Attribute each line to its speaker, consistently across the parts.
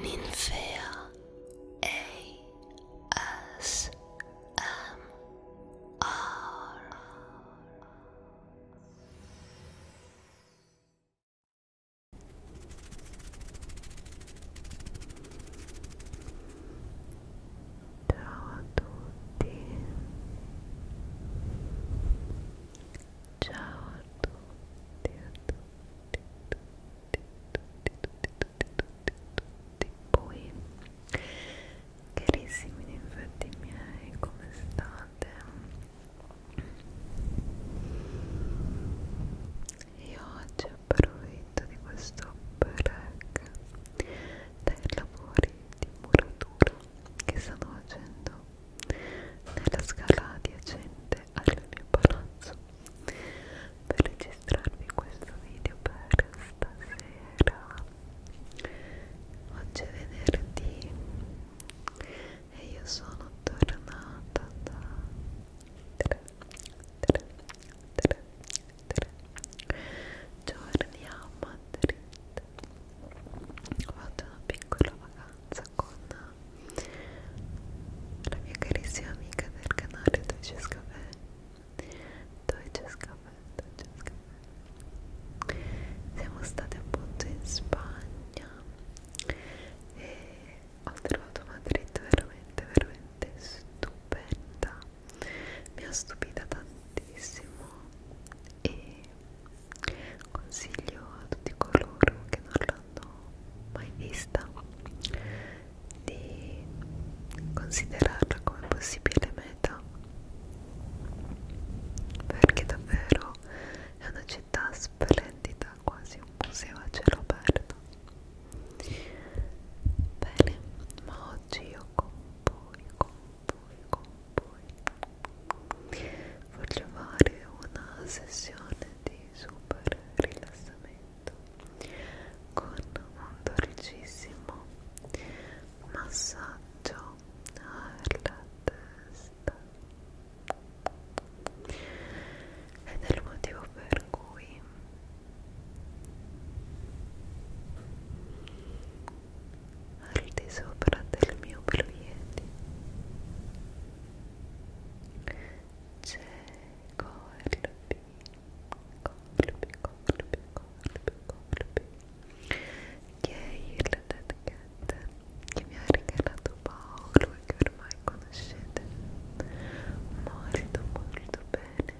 Speaker 1: Ninfea ASMR Ciao tutti Ciao a tutti a tutti tutti voi carissimi infatti miei come state io oggi approfitto di questo break dai lavori di muratura che stanno facendo nella scala adiacente al mio palazzo per registrarvi questo video per stasera oggi è venerdì e io sono tornata da 3, 3, 3, 3 giorni a Madrid ho fatto una piccola vacanza con la mia carissima amica del canale Dolces Caffè Dolces Caffè, Dolces Caffè siamo state appunto in Spagna e ho trovato Madrid veramente, veramente stupenda mi ha stupita tantissimo e consiglio a tutti coloro che non l'hanno mai vista di considerarla come possibile meta
Speaker 2: perché davvero è una città splendida quasi un museo a cielo aperto bene ma oggi io con voi con voi con voi voglio fare una sessione di super rilassamento con un dolcissimo massaggio alla testa ed è il motivo per cui al di sopra del mio proietti c'è Corby, Corby, Corby, Corby, Corby che è il dead cat che mi ha regalato Paolo e che ormai conoscete molto molto bene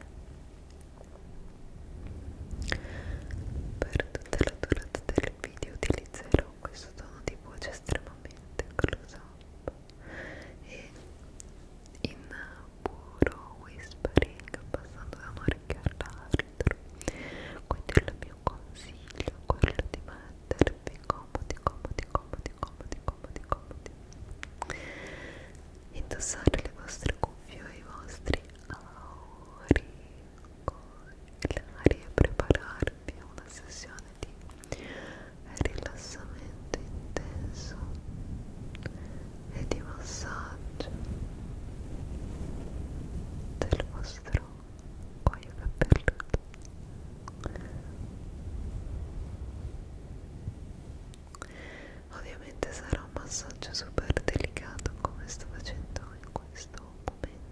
Speaker 2: per tutta la durata del video utilizzerò questo tono di voce estremamente close up e in puro whispering passando da un orecchio all'altro quindi il mio consiglio è quello di mettervi comodi comodi comodi comodi comodi comodi indossare le vostre cuffie e i vostri auri congelare e prepararvi a una sessione di rilassamento intenso e
Speaker 3: di massaggio del vostro cuoio capelluto ovviamente sarà un massaggio super delicato come sto facendo in questo momento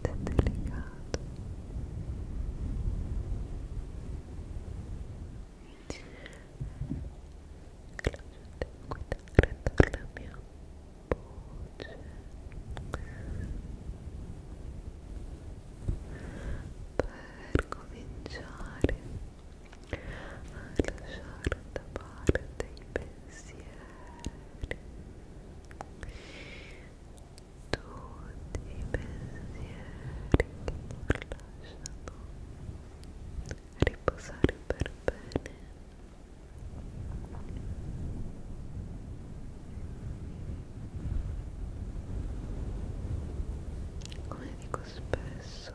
Speaker 3: veramente delicato lasciate guidare dalla mia voce per cominciare a lasciare da parte i pensieri tutti i pensieri che ti lasciano riposare per bene come dico spesso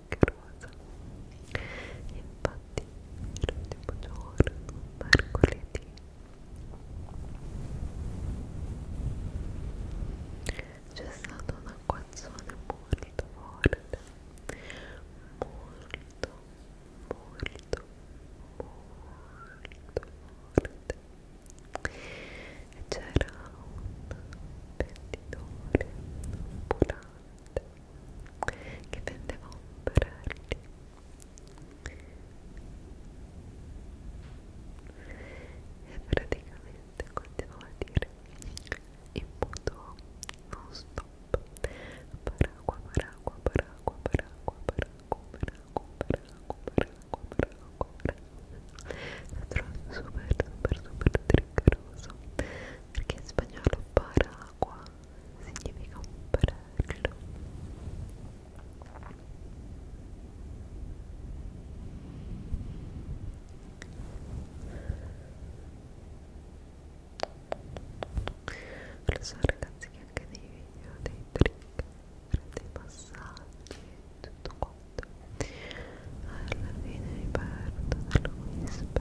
Speaker 3: anche rosa infatti l'ultimo giorno mercoledì c'è stato un acquazzone molto forte molto molto molto forte e c'era un venditore ambulante niente che vendeva ombrelli e praticamente continuava a dire in modo non stop paracqua paracqua paracqua paracqua paracqua paracqua paracqua paracqua paracqua paracqua super super super triggeroso perché in spagnolo paracqua significa un perello lo so ragazzi che anche dei video, dei trick, dei passaggi e tutto quanto alla fine mi perdo dalla whisper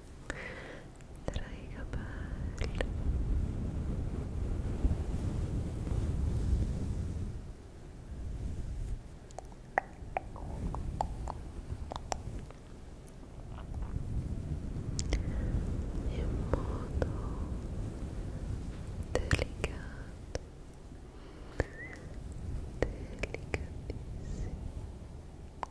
Speaker 3: traiga paz en modo delicado delicadísimo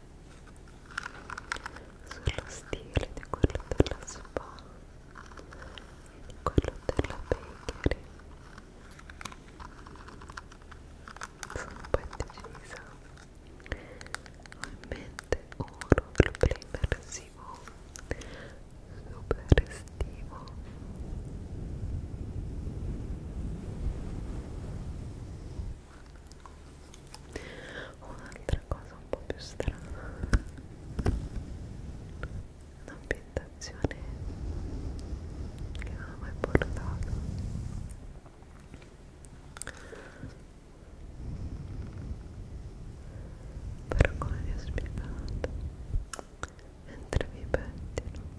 Speaker 3: sullo stile di quello della spa e di quello della bakery sono un po' indecisa ho in mente un roll play immersivo super estivo un'altra cosa un po' più strana un'ambientazione che non ho mai portato però come vi ho spiegato mentre vi pettino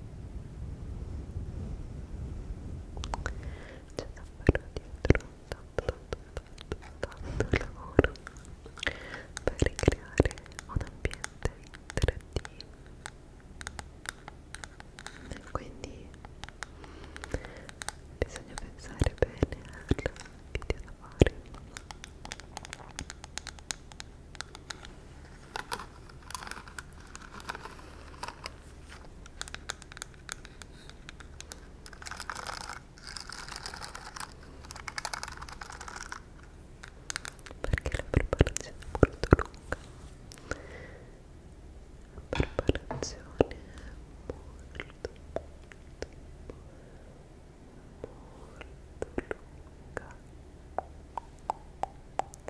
Speaker 3: c'è davvero dietro tanto tanto tanto tanto lavoro per ricreare un ambiente interattivo quindi bisogna pensare bene al video da fare perché la preparazione è molto lunga la preparazione è molto molto molto lunga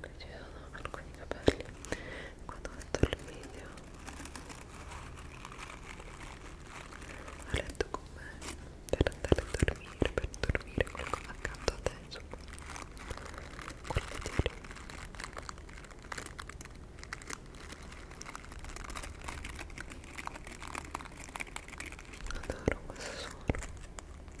Speaker 3: qui ci sono alcuni capelli quando ho fatto il video ho letto con me per andare a dormire, per dormire qualcuno accanto a te, insomma, quello che ti Adoro questo suono. Ecco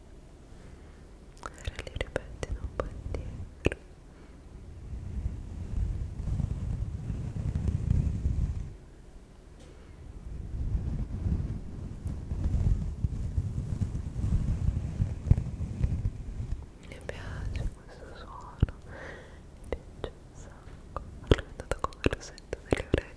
Speaker 3: ora li ripeti un po' indietro mi piace questo suono mi piace un sacco l'ho inventato come rosetta delle orecchie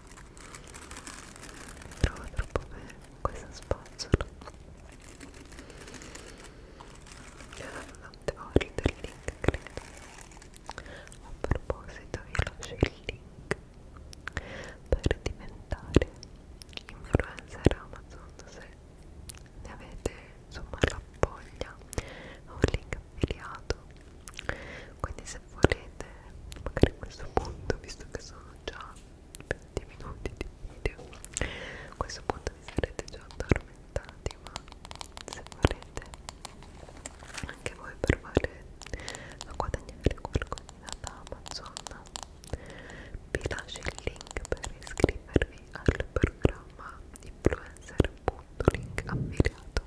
Speaker 3: Mi trovo troppo bene con questa spazzola e tante volte il link credo a proposito vi lascio il link per diventare influencer Amazon se ne avete insomma la voglia ho un link affiliato quindi se volete magari a questo punto visto che sono già 20 minuti di video a questo punto vi sarete già addormentati ma se volete anche voi provare a guadagnare qualcosa da Amazon vi lascio il link per iscrivervi al programma influencer.link affiliato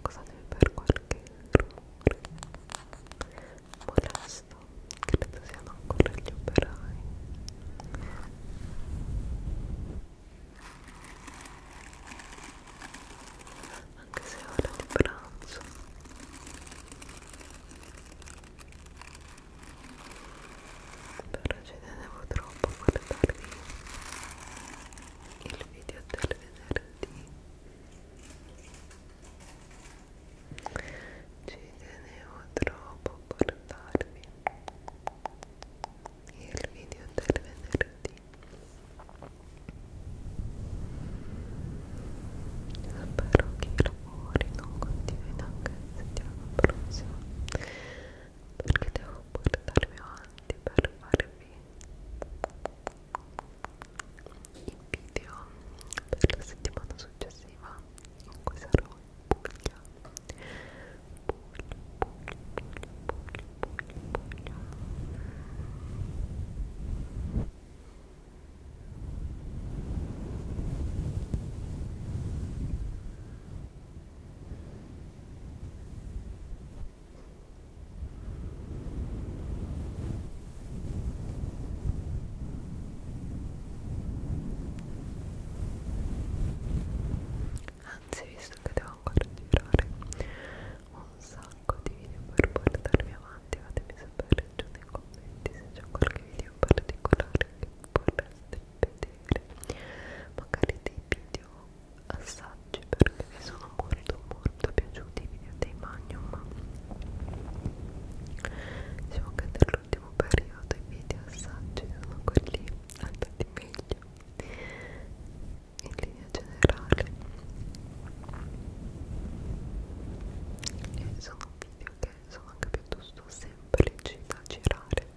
Speaker 3: Scusatemi per qualche rumore molesto, credo siano ancora gli operai. Anche se è ora di pranzo però ci tenevo troppo a guardarvi il video del venerdì ci tenevo troppo a guardarvi il video del venerdì spero che i rumori non continuino anche la settimana prossima perché devo portarmi avanti per farvi i per la settimana successiva in cui sarò Anzi, visto che devo ancora girare un sacco di video per portarmi avanti, fatemi sapere giù nei commenti se c'è qualche video particolare che vorreste vedere magari dei video assaggi perché mi sono molto molto piaciuti i video dei Magnum diciamo che nell'ultimo periodo i video assaggi sono quelli andati meglio in linea generale e sono video che sono anche piuttosto semplici da girare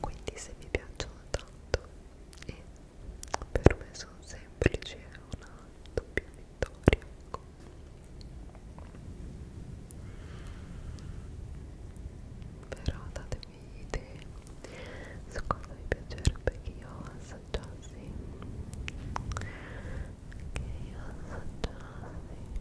Speaker 3: quindi se mi piacciono tanto e per me sono semplici è una doppia vittoria ecco. però datemi idee su cosa vi piacerebbe che io assaggiassi che io assaggiassi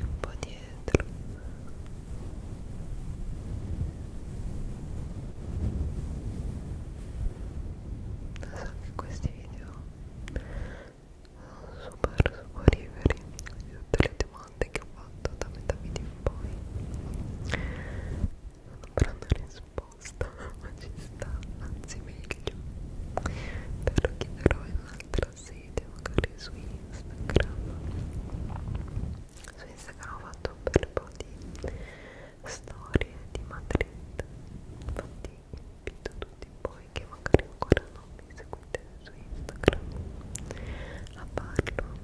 Speaker 3: un po' dietro lo so che questi video sono super super liberi di tutte le tematiche domande che ho fatto da metà video in poi non avranno risposta ma ci sta anzi meglio te lo chiederò in un'altra sede magari su Instagram su Instagram ho fatto un bel po' di storie di Madrid infatti invito tutti voi che magari ancora non mi seguite su Instagram a farlo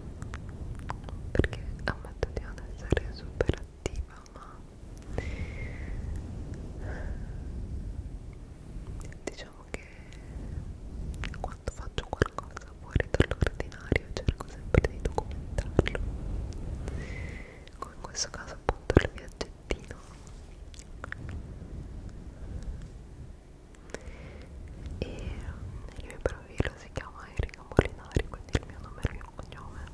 Speaker 3: perché ammetto di non essere super attiva ma diciamo che quando faccio qualcosa fuori dall'ordinario cerco sempre di documentarlo come in questo caso appunto il viaggettino e il mio profilo si chiama Erika Molinari quindi il mio nome e il mio cognome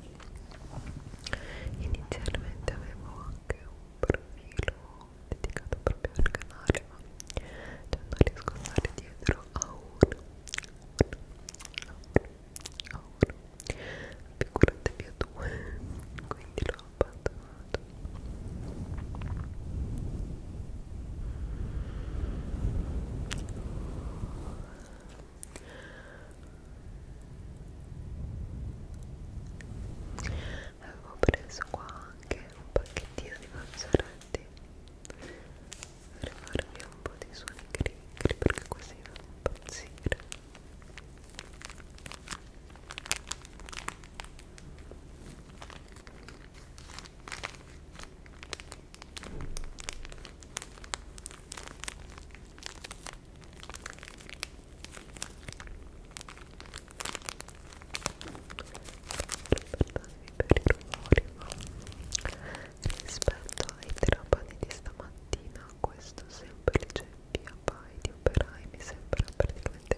Speaker 3: inizialmente avevo anche un profilo dedicato proprio al canale ma cioè non riesco a stare dietro a uno a uno a uno figurate più a due quindi l'ho abbandonato Avevo preso qua anche un pacchettino di mazzolati per farvi un po' di suoni cricri perché così non impazzire per i rumori rispetto ai terapati di stamattina questo semplice via vai di operai mi sembra praticamente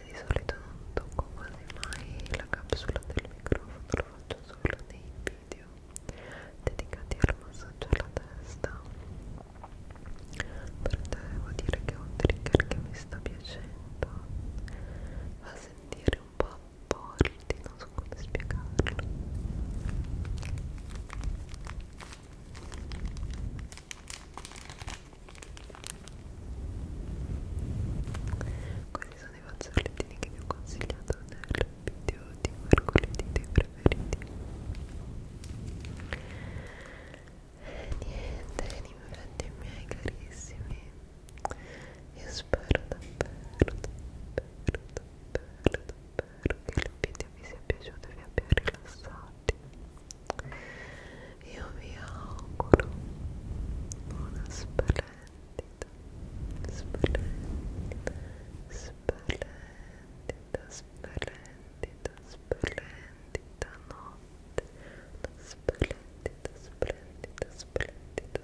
Speaker 3: ovviamente di solito non tocco quasi mai la capsula del microfono lo faccio solo nei video dedicati al massaggio alla testa però devo dire che è un trigger che mi sta piacendo fa sentire un po' volti non so come spiegarlo questi sono dei fazzolettini che vi ho consigliato nel video di mercoledì dei preferiti e niente, infatti miei carissimi io spero davvero, davvero, davvero, davvero che il video vi sia piaciuto e vi abbia rilassati io vi auguro buona splendida splendida splendida splendida splendida notte una splendida splendida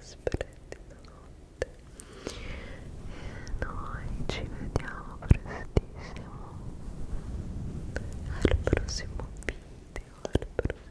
Speaker 3: splendida splendida notte e noi ci vediamo prestissimo al prossimo video al prossimo